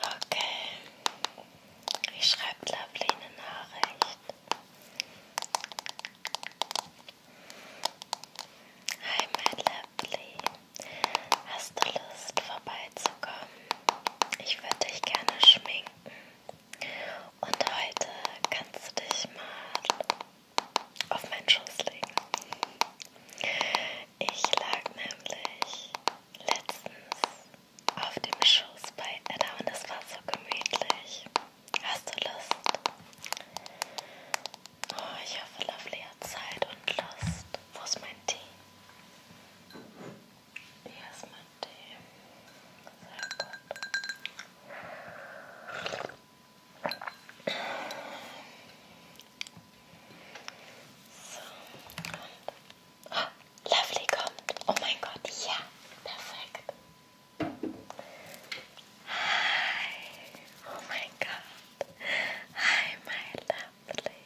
Okay, ich schreibe Lovely eine Nachricht. Hi, mein Lovely. Hast du Lust, vorbeizukommen? Ich würde dich gerne schminken. Und heute kannst du dich mal auf meinen Schoß legen. Ich lag nämlich letztens auf dem Schoß bei Edda und es war so gemütlich. Hast du Lust? Oh, ich hoffe, Lovely hat Zeit und Lust. Wo ist mein Tee? Hier ist mein Tee. Sehr gut. So, und. Ah, Lovely kommt. Oh mein Gott, ja, perfekt. Hi, oh mein Gott. Hi, my Lovely.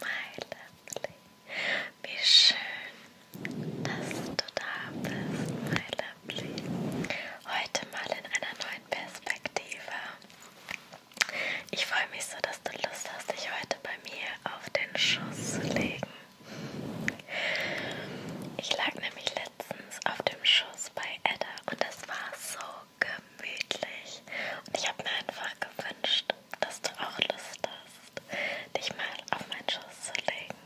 My Lovely. Wie schön, dass du da bist, my Lovely. Heute mal in einer neuen Perspektive. Ich freue mich so, dass du Lust hast, dich heute bei mir auf den Schoß zu legen. Ich lag nämlich letztens auf dem Schoß bei Edda und das war so gemütlich. Und ich habe mir einfach gewünscht, dass du auch Lust hast, dich mal auf meinen Schoß zu legen.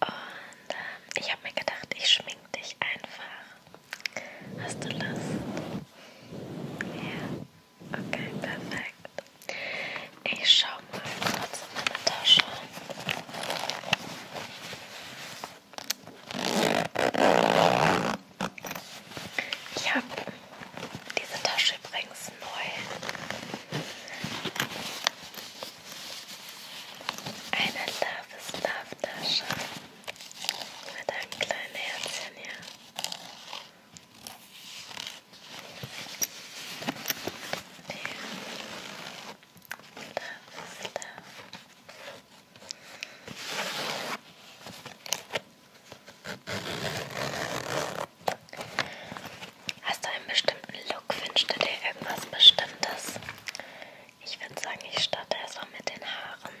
Und äh, ich habe mir gedacht, ich schminke dich einfach Hast du Lust? Ja. Okay, perfekt. Ich schau mal kurz in meine Tasche. Ich habe diese Tasche übrigens neu. Eine Love is Love Tasche. Mit einem kleinen Herzchen hier. Love is love. Hast du einen bestimmten Look? Wünschst du dir irgendwas Bestimmtes? Ich würde sagen, ich starte erstmal mit den Haaren.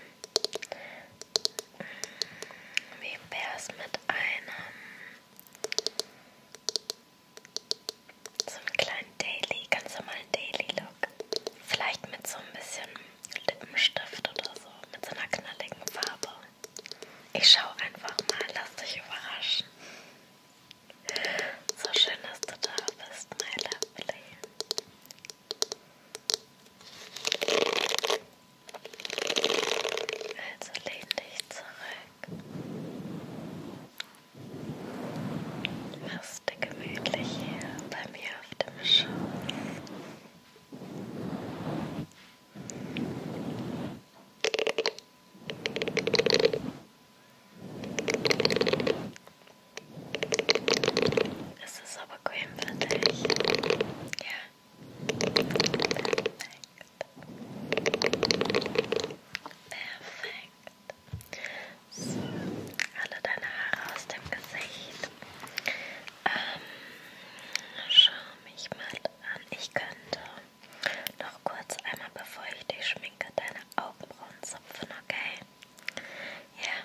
Wie wär's mit einem so einem kleinen Daily, ganz normalen Daily Look? Vielleicht mit so ein bisschen Lippenstift oder so, mit so einer knalligen Farbe. Ich schau einfach mal, lass dich überraschen. So schön, dass du da bist, my lovely. Also lehn dich zurück. Mach's dir gemütlich hier bei mir auf dem Schoß. Es ist aber grün für dich. Ja. Perfekt. Perfekt. So, alle deine Haare aus dem Gesicht. Ähm, schau mich mal an. Ich könnte noch kurz einmal, bevor ich dich schminke, deine Augenbrauen zupfen, okay? Ja.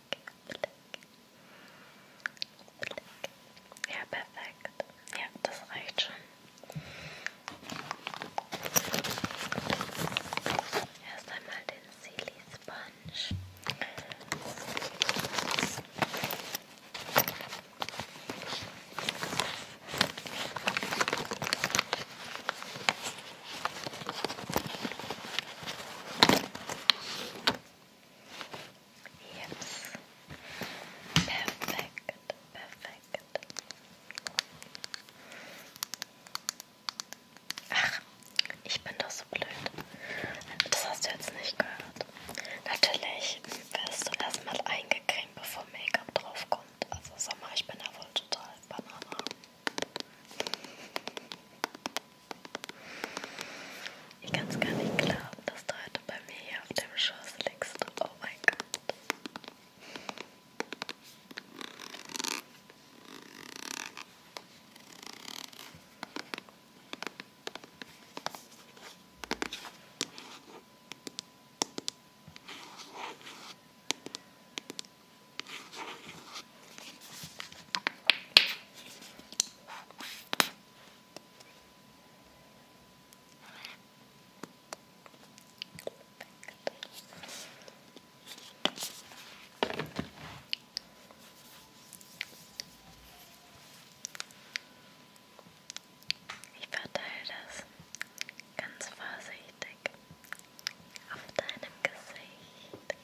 Blick. Ja, perfekt. Ja, das reicht schon. Erst einmal den Silly Sponge. Yes. Perfekt, perfekt. Ach, ich bin doch so blöd. Das hast du jetzt nicht gehört. Natürlich wirst du erstmal eingecremt, bevor Make-up draufkommt. Also Sommer, ich bin ja wohl total Banane. Ich kann es gar nicht glauben, dass du heute bei mir hier Oh mein Gott. Ich verteile das ganz vorsichtig auf deinem Gesicht. Auf deinem Gesicht.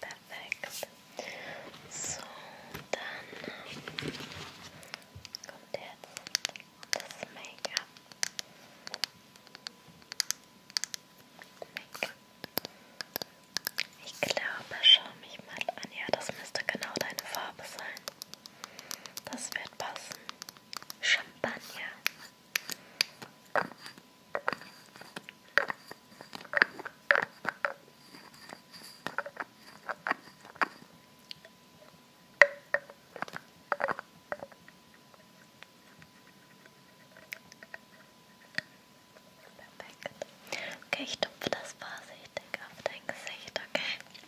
Perfekt. So, dann kommt jetzt das Make-up. Make ich glaube, schau mich mal an. Ja, das müsste genau deine Farbe sein. Das wird passen. Champagner. Perfekt. Okay, ich tupfe das vorsichtig auf dein Gesicht, okay?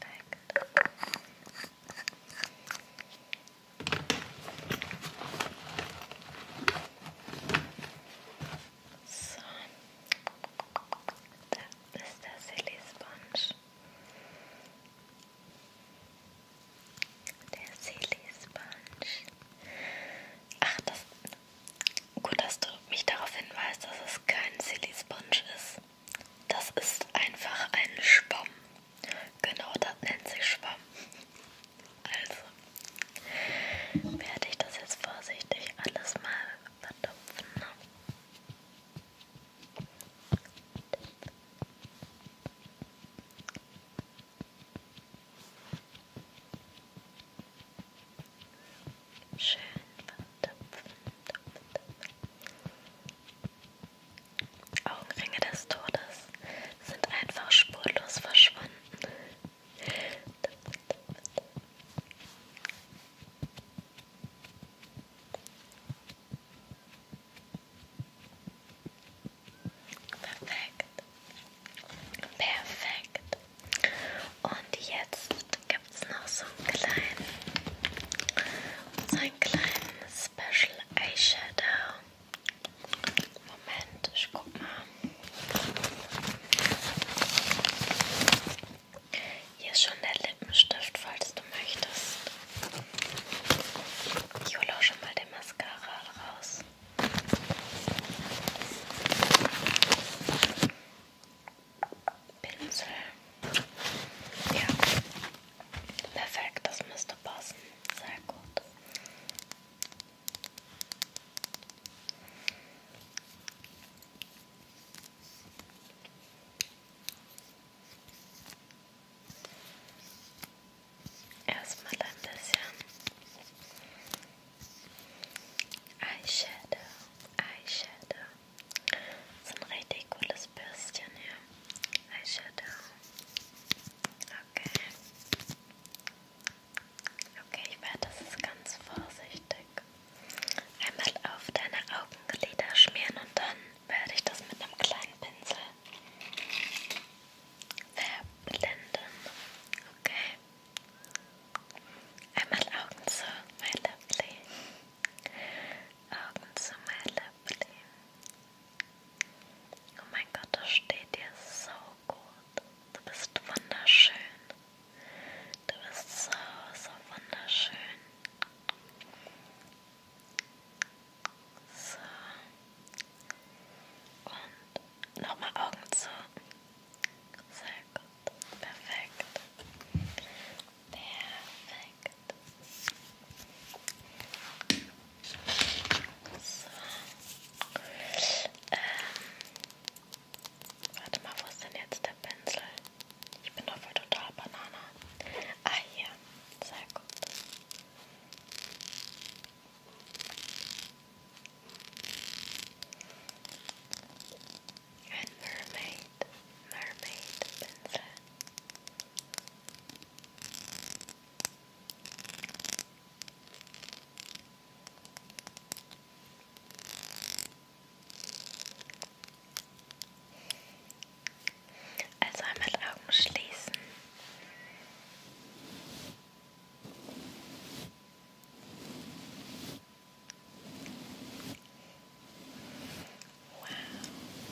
perfekt. So, da ist der Silly Sponge. Der Silly Sponge. Ach, das, gut, dass du mich darauf hinweist, dass es kein Silly Sponge ist. Das ist einfach ein Schwamm. Genau, das nennt sich Schwamm. Also werde ich das jetzt vorsichtig alles mal vertupfen. Ne? Schön vertupfen, tupfen, tupfen. Augenringe des Todes sind einfach spurlos verschwunden. Perfekt. Perfekt. Und jetzt gibt es noch so einen kleinen, so einen kleinen Special Eyeshadow. Moment, ich guck mal. Hier ist schon der Lippenstift, falls du möchtest. Ich hole auch schon mal den Mascara raus. Pinsel. Ja. Perfekt, das müsste passen. Sehr gut. Erstmal ein bisschen Eyeshadow, Eyeshadow. Das ist ein richtig cooles Bürstchen hier. Eyeshadow. Okay. Okay, ich werde das ist ganz vorsichtig. Einmal auf deine Augenlider schmieren und dann werde ich das mit einem kleinen Pinsel verblenden. Okay. Einmal Augen zu, my lovely. Augen zu, my lovely. Oh mein Gott, das steht dir so gut. Du bist wunderschön. Du bist so, so wunderschön. So. Und nochmal Augen zu. Sehr gut. Perfekt. Perfekt. So. Ähm. Warte mal, wo ist denn jetzt der Pinsel? Ich bin Ah, hier. Sehr gut. Mermaid. Mermaid Pinsel. Also einmal Augen schließen. Wow.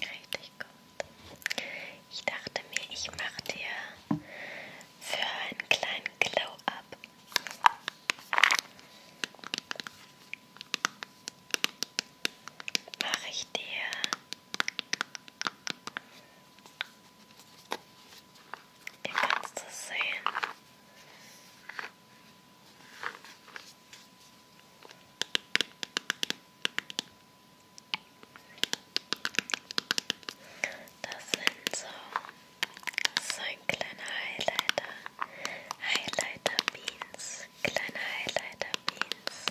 Richtig gut. Ich dachte mir, ich mache dir für einen kleinen Glow-Up. Mache ich dir Ihr kannst das sehen. Das so, so ein kleiner Highlighter. Highlighter Beans. Kleine Highlighter Beans.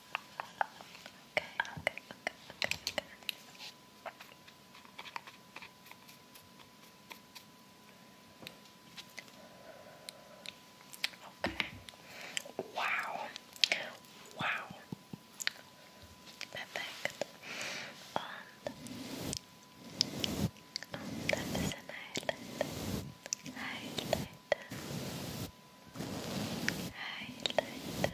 Okay, okay, okay, okay, okay. Okay. Wow. Wow. Perfect. And oh, that is an highlight. Highlight. Highlight.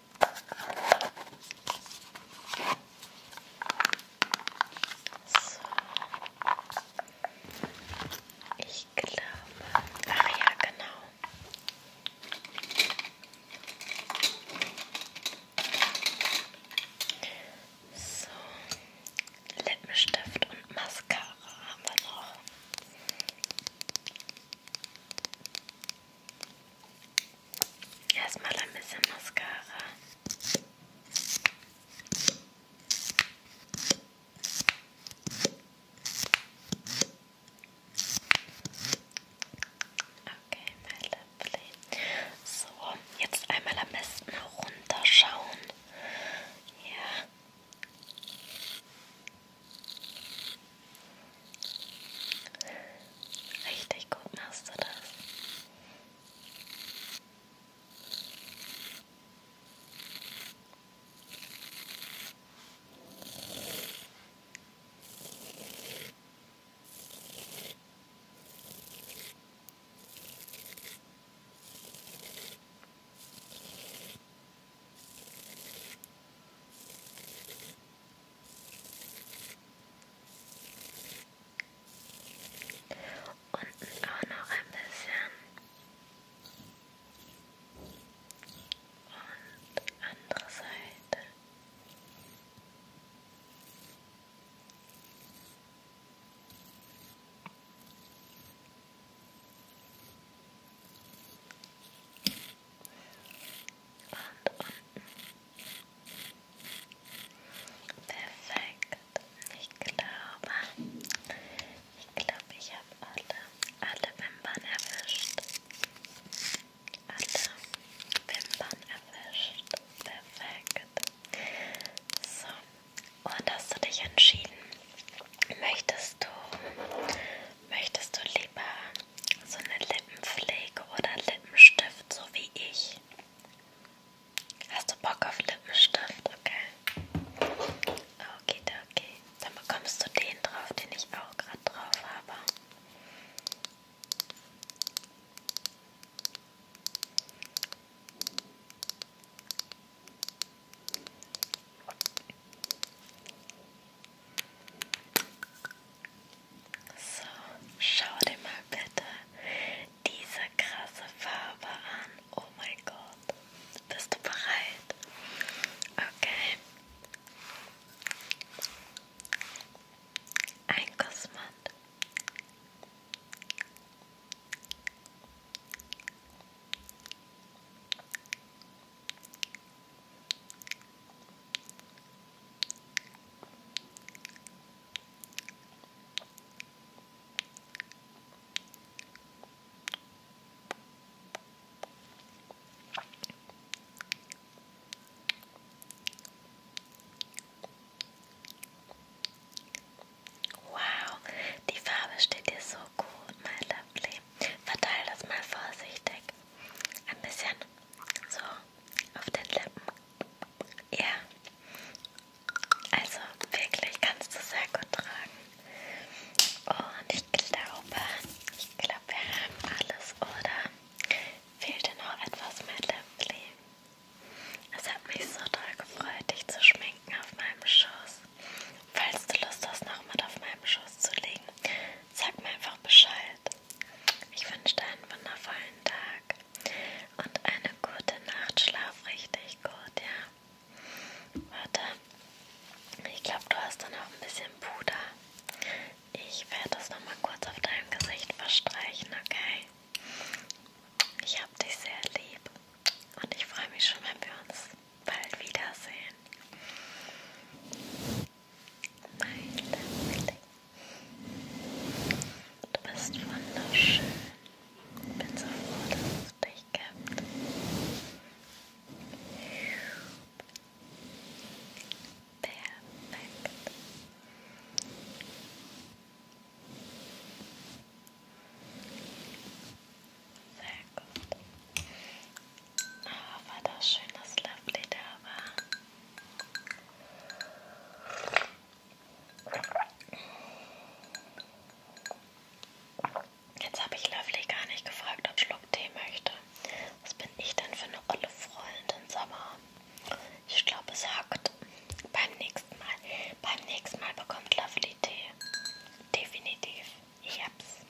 So. Ich glaube. Ach ja, genau. So, Lippenstift und Mascara haben wir noch. Erstmal ein bisschen Mascara. Okay, my lovely. So, jetzt einmal am besten runterschauen. Ja. Richtig gut machst du das. Unten auch noch ein bisschen. Und andere Seite. Und unten. Perfekt. Ich glaube, ich glaube, ich habe alle, alle Wimpern erwischt. Alle Wimpern erwischt. Perfekt. So, und hast du dich entschieden? Möchtest du Möchtest du lieber so eine Lippenpflege oder Lippenstift, so wie ich? Hast du Bock auf Lippenstift? Okay. Okay, okay. Dann bekommst du den drauf, den ich auch gerade drauf habe. So, schau dir mal bitte diese krasse Farbe an. Oh mein Gott. Bist du bereit? Okay. Ein Kosmant. Wow, die Farbe steht dir so gut, my lovely. Verteile das mal vorsichtig. Ein bisschen so, auf den Lippen. Ja. Also wirklich kannst du sehr gut tragen. Und ich glaube, ich glaube, wir haben alles, oder? Fehlte noch etwas mehr Lipgloss. Es hat mich so toll gefreut, dich zu schminken auf meinem Schoß. Falls du Lust hast, nochmal auf meinem Schoß zu liegen, sag mir einfach Bescheid. Ich wünsche dir einen wundervollen Tag und eine gute Nacht. Schlaf richtig gut, ja? Warte, ich glaube, du hast da noch ein bisschen Puder. Ich werde das nochmal kurz auf deinem Gesicht verstreichen, okay? Ich habe dich sehr lieb und ich freue mich schon, wenn wir uns bald wiedersehen. Mein Liebling, du bist wunderschön. Bin so froh, dass es dich gibt. Perfekt. Sehr Oh, war das schön, dass Lovely da war. Jetzt habe ich Lovely gar nicht gefragt, ob Schluck Tee möchte. Was bin ich denn für eine olle Freundin, Sommer? Ich glaube, es hackt. Beim nächsten Mal. Beim nächsten Mal bekommt Lovely Tee. Definitiv. Ich hab's.